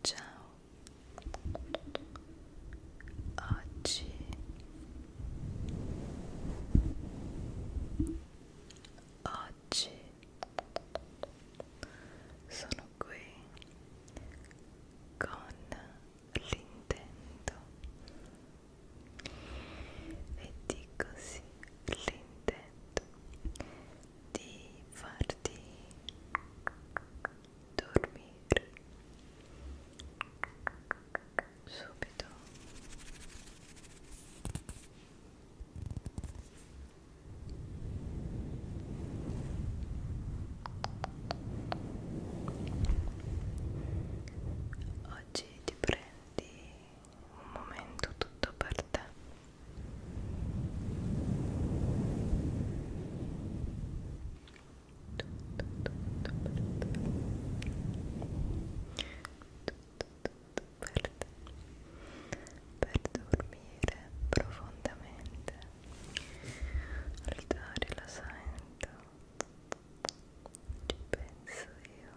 Ciao, oggi oggi sono qui con l'intento e dico sì l'intento di farti dormire subito oggi ti prendi un momento tutto per te per, per dormire profondamente altare la sento ci penso io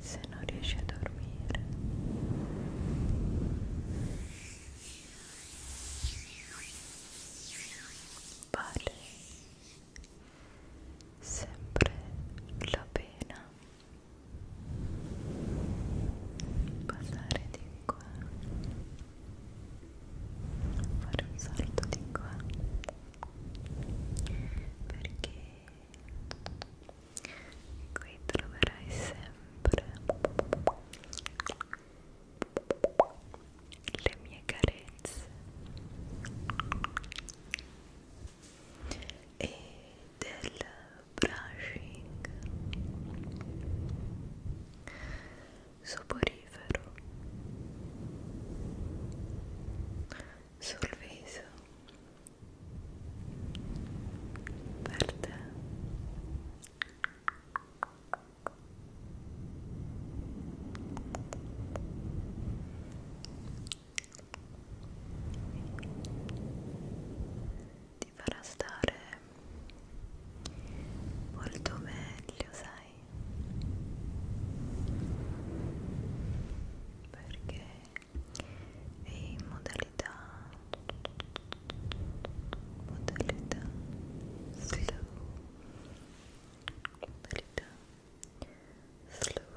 se non riesci a dormire vale sempre la pena passare di qua fare un salto di qua perché qui troverai sempre le mie carezze e del brushing soporifero sul viso per te ti farà stare molto meglio sai perché è in modalità modalità slow modalità slow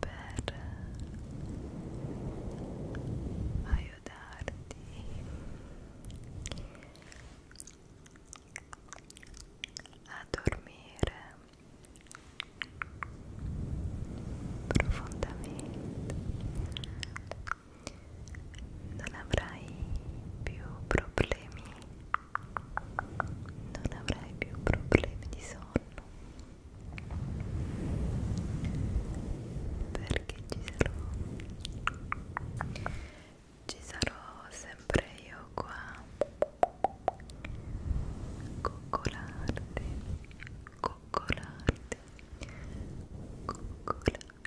per aiutarti a dormire profondamente non avrai più problemi non avrai più problemi di sonno perché ci sarò ci sarò sempre io qua coccolarti coccolarti coccolarti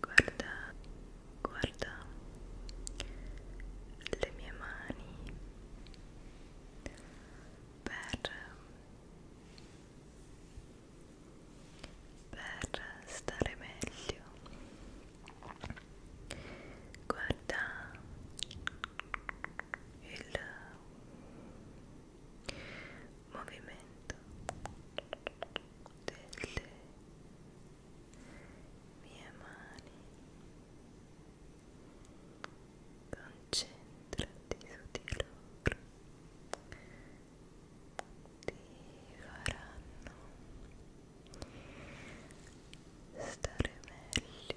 Guarda, guarda le mie mani per, per stare meglio. Guarda il movimento delle mie mani concentrati su di loro ti faranno stare meglio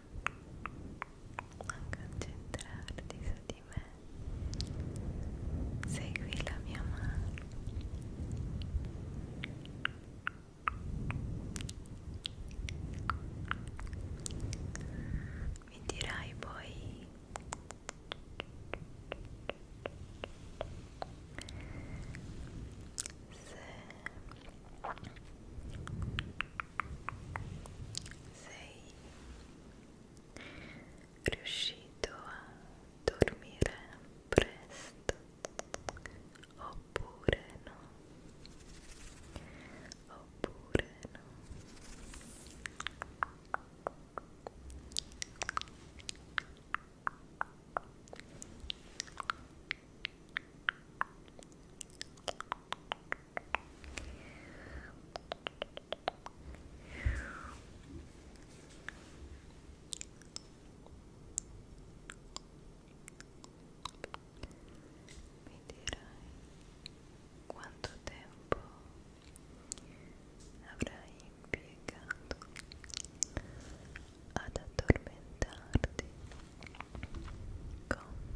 a concentrarti su di me segui la mia mano mi dirai poi se sei riuscito a dormire presto oppure no oppure no Buonanotte mi dirai quanto tempo avrai impiegato ad addormentarti con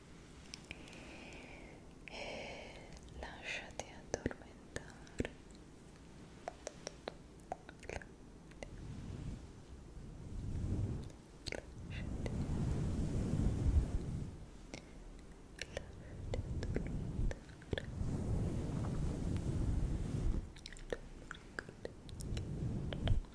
e lasciati addormentare lasciati lasciati addormentare Lasciati addormentare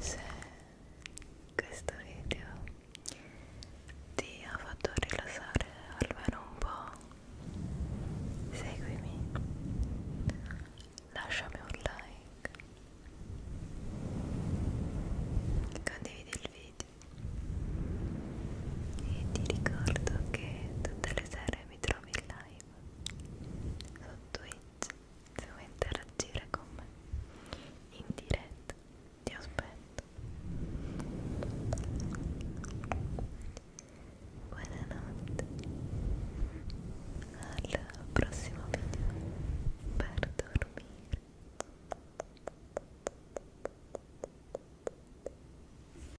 se questo video ti ha fatto rilassare almeno un po' seguimi lasciami un like condividi il video e ti ricordo che tutte le sere dove mi trovi in live su Twitch se vuoi interagire con me in diretta ti aspetto buonanotte al prossimo video per dormire